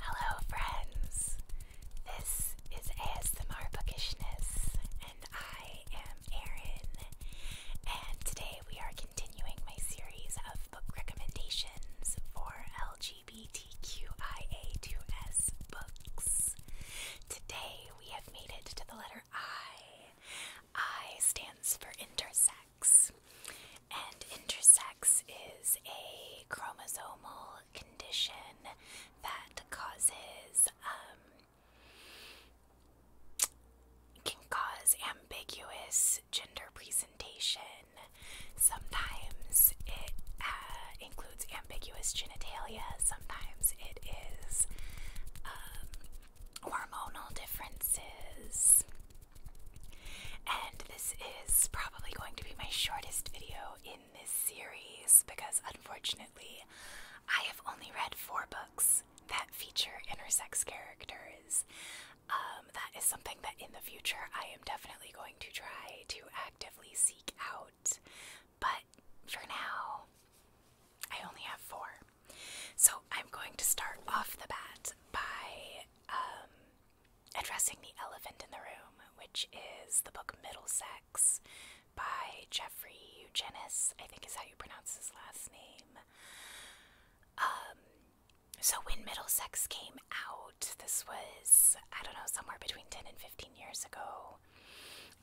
Hello, friends. This is ASMR Bookishness, and I am Erin. And today we are continuing my series of book recommendations for LG LGBTQIA2S books. Today we have made it to the letter I. I stands for intersex, and intersex is a chromosomal condition that causes um, can cause ambiguous gender presentation Sometimes it uh, includes ambiguous genitalia. Sometimes it is um, hormonal differences. And this is probably going to be my shortest video in this series because unfortunately I have only read four books that feature intersex characters um, that is something that in the future I am definitely going to try to actively seek out. But for now, I only have four. So I'm going to start off the bat by um, addressing the elephant in the room, which is the book Middlesex by Jeffrey Eugenis, I think is how you pronounce his last name. Um, so when Middlesex came out, this was I don't know somewhere between ten and fifteen years ago.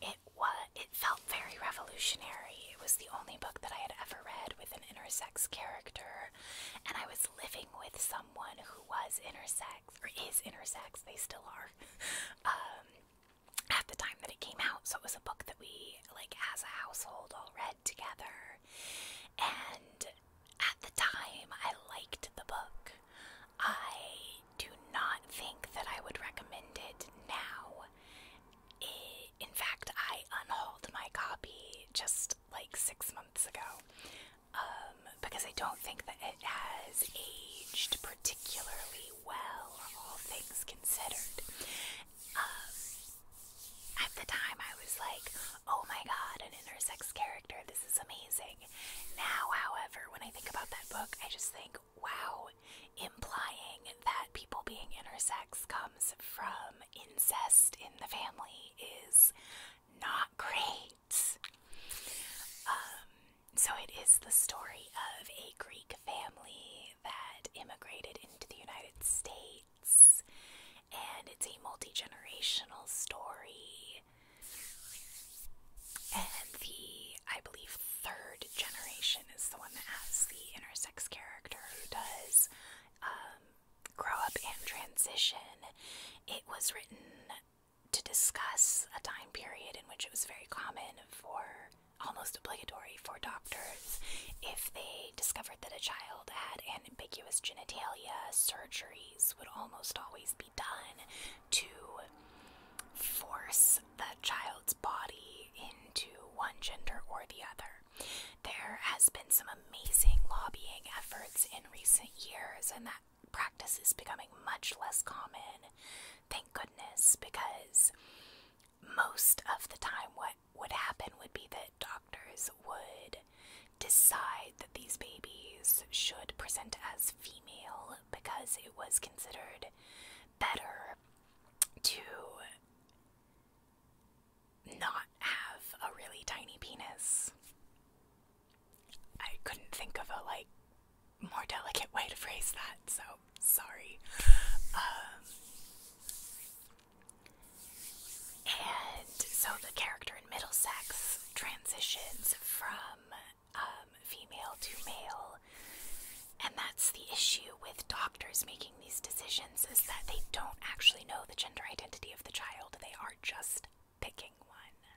It was it felt very revolutionary. It was the only book that I had ever read with an intersex character, and I was living with someone who was intersex or is intersex. They still are. Um, at the time that it came out, so it was a book that we like as a household all read together, and at the time, I liked the book. I do not think that I would recommend it now. in fact, I unhauled my copy just like six months ago um, because I don't think that it has aged particularly well, all things considered. Um, at the time, I was like, oh my god, an intersex character, this is amazing. Now, however, when I think about that book, I just think, wow, implying that people being intersex comes from incest in the family is not great. Um, so it is the story of a Greek family that immigrated into the United States and it's a multi generational story. And the, I believe, third generation is the one that has the intersex character who does um, grow up and transition. It was written to discuss a time period in which it was very common for almost obligatory for doctors if they discovered that a child had an ambiguous genitalia surgery would almost always be done to force the child's body into one gender or the other. There has been some amazing lobbying efforts in recent years, and that practice is becoming much less common, thank goodness, because most of the time, what would happen would be that doctors would decide that these babies should present as female because it was considered better to not have a really tiny penis. I couldn't think of a like more delicate way to phrase that, so sorry. Um, and so the character in Middlesex transitions from um, female to male. And that's the issue with doctors making these decisions is that they don't actually know the gender identity of the child. They are just picking one.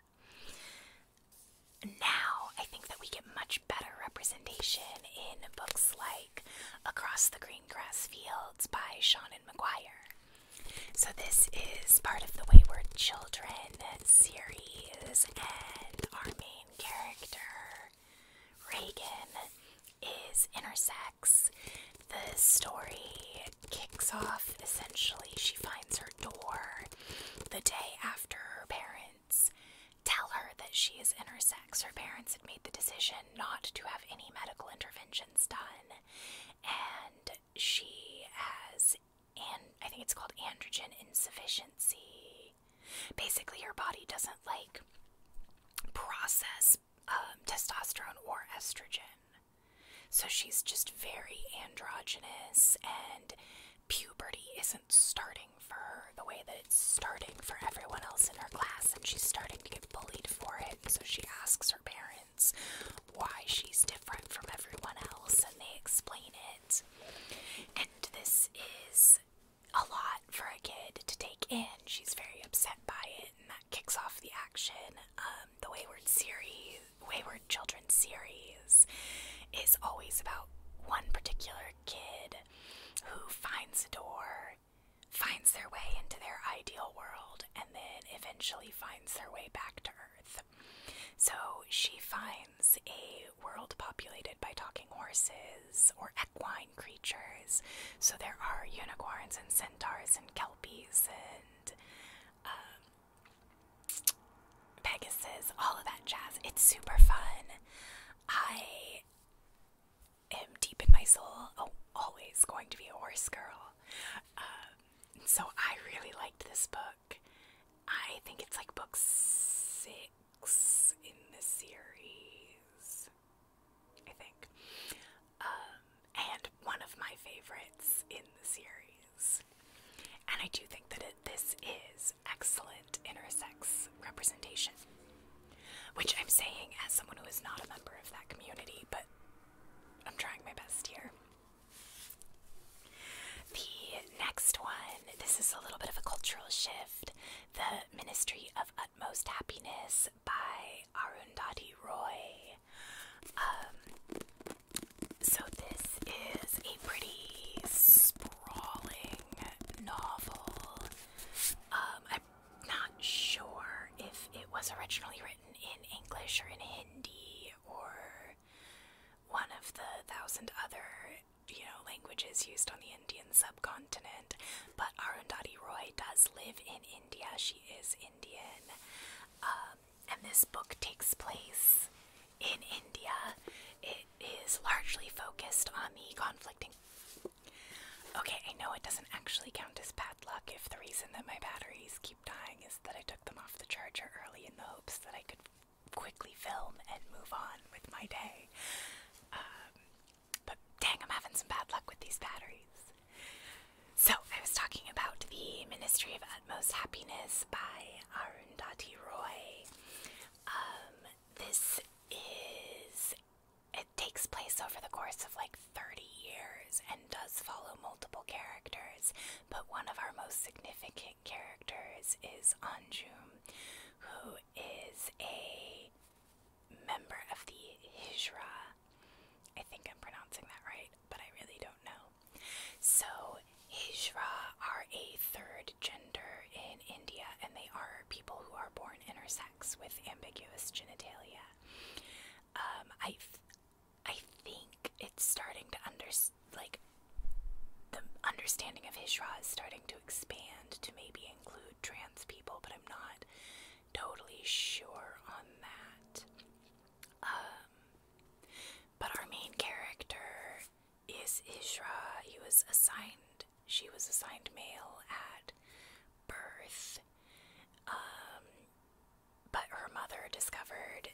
Now, I think that we get much better representation in books like Across the Green Grass Fields by Sean and McGuire. So, this is part of the Wayward Children series, and our main character, Reagan, is intersex. The story kicks off essentially, she finds her door the day after her parents tell her that she is intersex. Her parents had made the decision not to have any medical interventions done, and she has and I think it's called androgen insufficiency. Basically, her body doesn't like process um, testosterone or estrogen. So she's just very androgynous, and puberty isn't starting for her the way that it's starting for everyone else in her class, and she's starting to get bullied for it. So she asks her parents why she's different from everyone else, and they explain it. And this is a lot for a kid to take in. She's very upset by it, and that kicks off the action. Um, the Wayward series, Wayward Children series, is always about one particular kid who finds a door, finds their way into their ideal world, and then eventually finds their way back to Earth. So she finds a world populated by talking horses or equine creatures. So there are unicorns and centaurs and kelpies and um, Pegasus, all of that jazz. It's super fun. I am deep in my soul, oh, always going to be a horse girl. Um, so I really liked this book. I think it's like book six in the series, I think. Um, and one of my favorites in the series. And I do think that this is excellent intersex representation, which I'm saying as someone who is not a member of that community, but I'm trying my best here. The next one, this is a little bit of a cultural shift. The Ministry of Utmost Happiness by Arundhati Roy. Um, so, this is a pretty sprawling novel. Um, I'm not sure if it was originally written in English or in Hindi or one of the thousand other, you know, languages used on the Indian subcontinent. But Arundhati Roy does live in India. She is Indian. Um, and this book takes place in India. It is largely focused on the conflicting. Okay, I know it doesn't actually count as bad luck if the reason that my batteries dying is that I took them off the charger early in the hopes that I could quickly film and move on with my day. Um, but dang, I'm having some bad luck with these batteries. So, I was talking about The Ministry of Utmost Happiness by Arundhati Roy. Um, this is. It takes place over the course of like 30 years and does follow multiple characters but one of our most significant characters is Anjum, who is a member of the Hijra. I think I'm pronouncing that right, but I really don't know. So, Hijra are a third gender in India, and they are people who are born intersex with ambiguous genitalia. Um, I, I think it's starting to under like the understanding of Hishra is starting to expand to maybe include trans people, but I'm not totally sure on that. Um, but our main character is Ishra. He was assigned. She was assigned male at birth. Um, but her mother discovered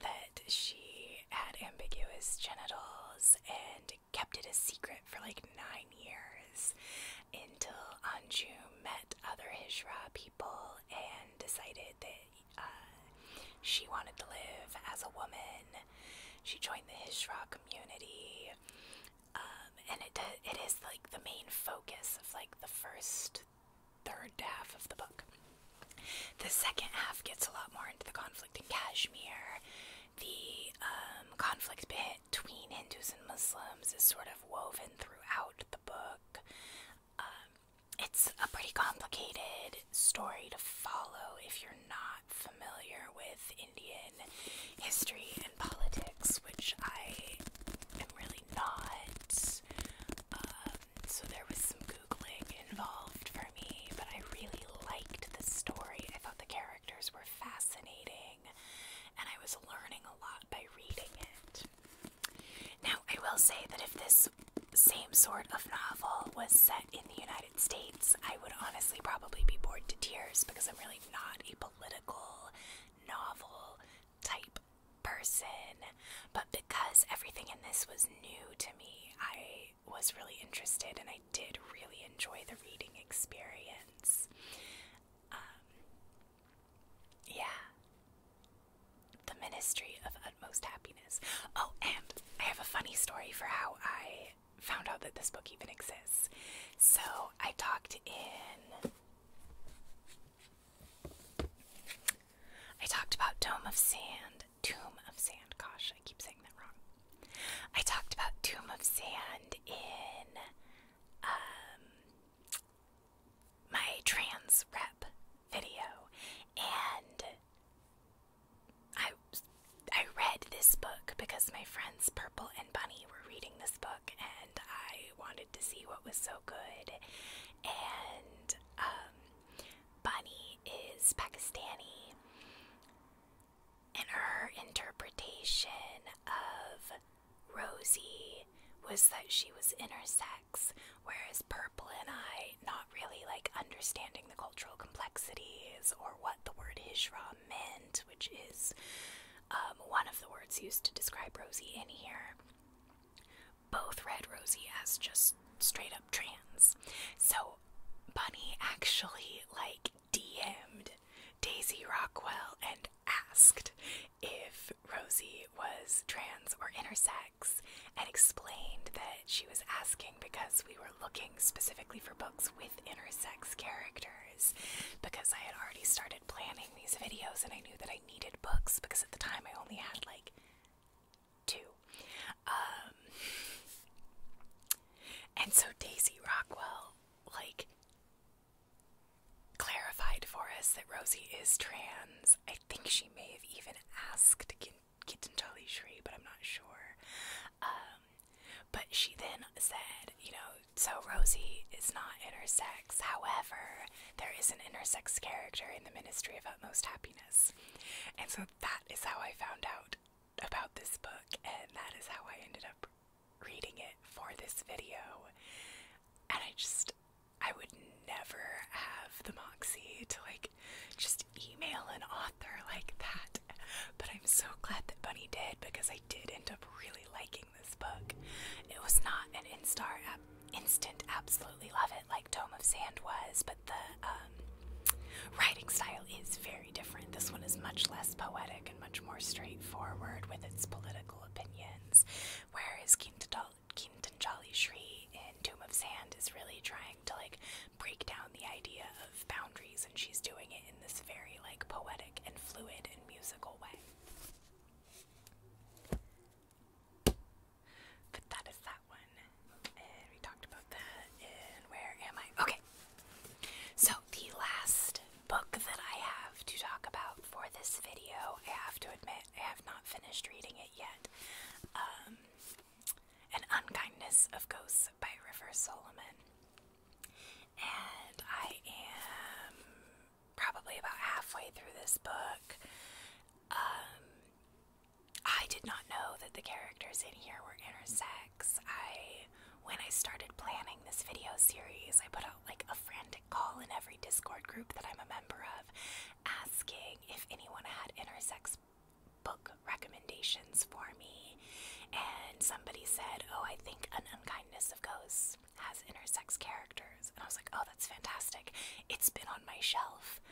that she had ambiguous genitals and kept it a secret for like nine years until Anju met other Hijra people and decided that uh, she wanted to live as a woman. She joined the Hijra community. Um, and it, it is like the main focus of like the first third half of the book. The second half gets a lot more into the conflict in Kashmir. The um, conflict between Hindus and Muslims is sort of woven throughout the book. Um, it's a pretty complicated story to follow if you're not familiar with Indian history and politics, which I am really probably not. Um, so there was some googling involved for me, but I really liked the story. I thought the characters were fascinating, and I was learning a lot by reading it. Now, I will say that if this same sort of novel was set in the United States, I would honestly probably be bored to tears because I'm really not a political novel type person, but because everything in this was new to me, I was really interested and I did really enjoy the reading experience. Um, yeah. The Ministry of Utmost Happiness. Oh, and I have a funny story for how I found out that this book even exists. So I talked in I talked about Dome of Sand. Tomb of Sand. Gosh, I keep saying that wrong. I talked about Tomb of Sand in um, my trans rep video, and I I read this book because my friends Purple and Bunny were reading this book, and I wanted to see what was so good, and um, Bunny is Pakistani, and her interpretation of Rosie was that she was intersex, whereas Purple and I, not really like understanding the cultural complexities or what the word Ishra meant, which is um, one of the words used to describe Rosie in here, both read Rosie as just straight up trans. So Bunny actually like DM'd Daisy Rockwell and asked if Rosie was trans or intersex and explained that she was asking because we were looking specifically for books with intersex characters because I had already started planning these videos and I knew that I needed books because at the time I only had like too. Um, and so Daisy Rockwell, like, clarified for us that Rosie is trans. I think she may have even asked Kitantali Shri, but I'm not sure. Um, but she then said, you know, so Rosie is not intersex. However, there is an intersex character in the Ministry of Utmost Happiness. And so that is how I found out about this book, and that is how I ended up reading it for this video. And I just, I would never have the moxy to like just email an author like that. But I'm so glad that Bunny did because I did end up really liking this book. It was not an instar at instant absolutely love it like Tomb of Sand was, but the um, writing style is very different. This one is much less poetic and much more straightforward with its political opinions, whereas Kintanjali Shri in Tomb of Sand is really trying to like break down the idea of boundaries, and she's doing it in this very like poetic and fluid and musical way. But that is that one. And we talked about that. And where am I? Okay. So, the last book that I have to talk about for this video, I have to admit, I have not finished reading it yet. Um, An Unkindness of Ghosts by River Solomon. And I am probably about halfway through this book. Um, I did not know that the characters in here were intersex. I when I started planning this video series, I put out like a frantic call in every Discord group that I'm a member of asking if anyone had intersex book recommendations for me. And somebody said, "Oh, I think An Unkindness of Ghosts has intersex characters." And I was like, "Oh, that's fantastic. It's been on my shelf."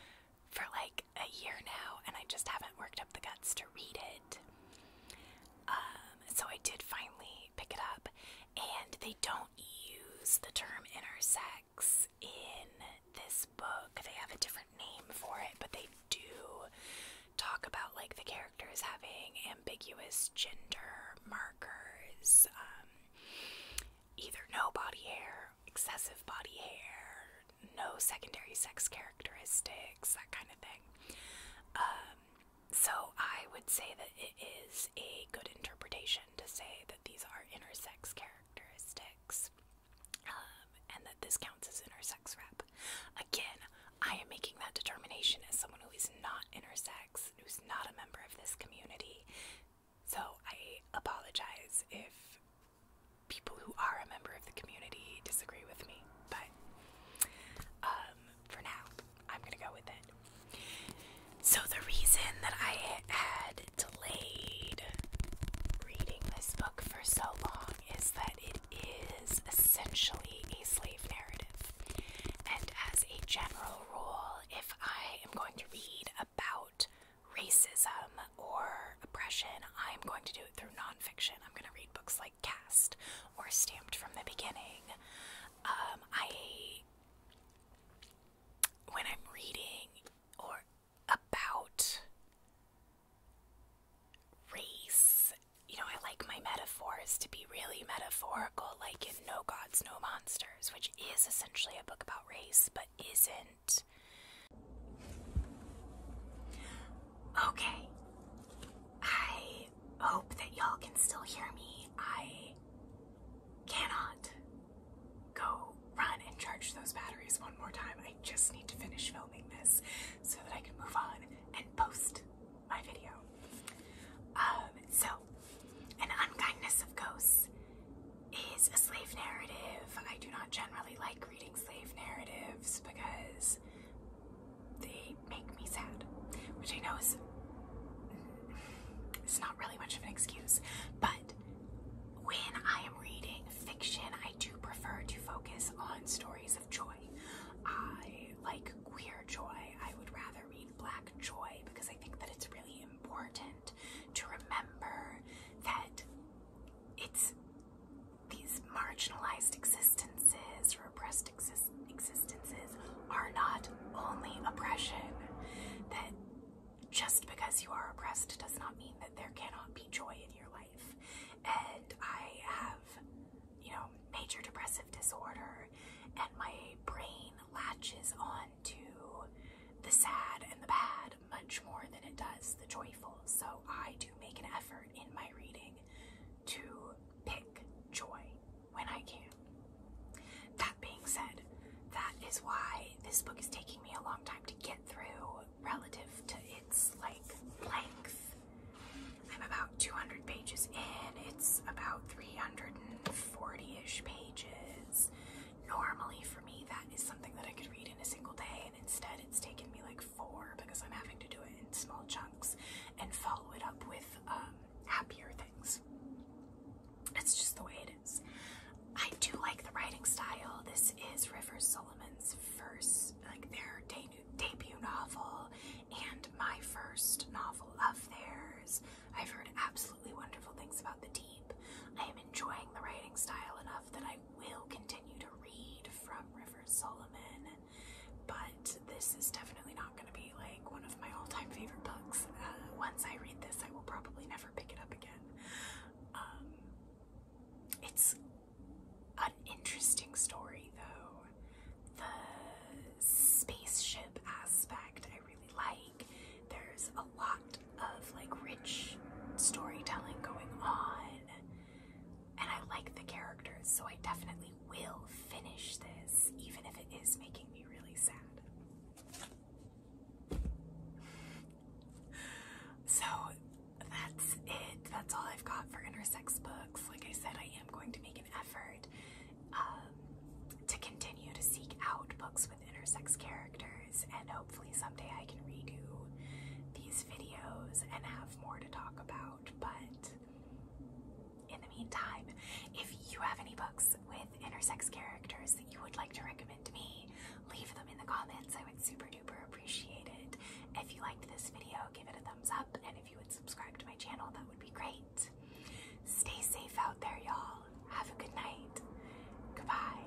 for like a year now, and I just haven't worked up the guts to read it. Um, so I did finally pick it up, and they don't use the term intersex in this book. They have a different name for it, but they do talk about like the characters having ambiguous gender markers. Um, either no body hair, excessive body hair, no secondary sex characteristics, that kind of thing. Um, so I would say that it is a good interpretation to say that these are intersex characteristics um, and that this counts as intersex rep. Again, I am making that determination as someone who is not intersex, who's not a member of this community. So I apologize if people who are a member of the community disagree with me, but um, for now, I'm gonna go with it. So the reason that I had delayed reading this book for so long is that it is essentially a slave narrative. And as a general rule, if I am going to read about racism or oppression, I'm going to do it through nonfiction. I'm going to read books like Cast or Stamped from the Beginning. Um, I, when I'm reading or about race, you know, I like my metaphors to be really metaphorical, like in No Gods, No Monsters, which is essentially a book about race, but isn't Okay. I hope that y'all can still hear me. I cannot go run and charge those batteries one more time. I just need to finish filming this so that I can move on and post my video. Um, so, an unkindness of ghosts is a slave narrative. I do not generally like reading slave narratives because they make me sad, which I know is it's not really much of an excuse, but when I am reading fiction, I do prefer to focus on stories of joy. I like queer joy. I would rather read black joy because I think that it's really important to remember that it's these marginalized existences, repressed exist existences, are not only oppression. That just because you are oppressed does not mean that there cannot be joy in your life. And I have, you know, major depressive disorder, and my brain latches on to the sad and the bad much more than it does the joyful. So I do make an effort in my reading to pick joy when I can. That being said, that is why this book is taking me a long time to get through relative to its like length. I'm about 200 pages in. It's about 340-ish pages. Normally, for me, that is something that I could read in a single day, and instead, it's taken me like four because I'm having to do it in small chunks and follow it up with um, happier things. It's just the way it is. I do like the writing style. This is River Solomon's first, like their de debut novel, and my first novel of theirs. I've heard absolutely wonderful things about The Deep. I am enjoying the writing style enough enough that I will continue to read from River Solomon, but this is definitely not going to be like one of my all time favorite books. Uh, once I read this, I will probably never pick it up again. Um, it's an interesting story, though. The spaceship aspect I really like. There's a lot of like rich storytelling going on. And I like the characters, so I definitely will finish this, even if it is making me really sad. So that's it. That's all I've got for intersex books. Like I said, I am going to make an effort um, to continue to seek out books with intersex characters, and hopefully someday I can redo these videos and have more to talk about. But in the meantime, if you have any books with intersex characters that you would like to recommend to me, leave them in the comments. I would super duper appreciate it. If you liked this video, give it a thumbs up, and if you would subscribe to my channel, that would be great. Stay safe out there, y'all. Have a good night. Goodbye.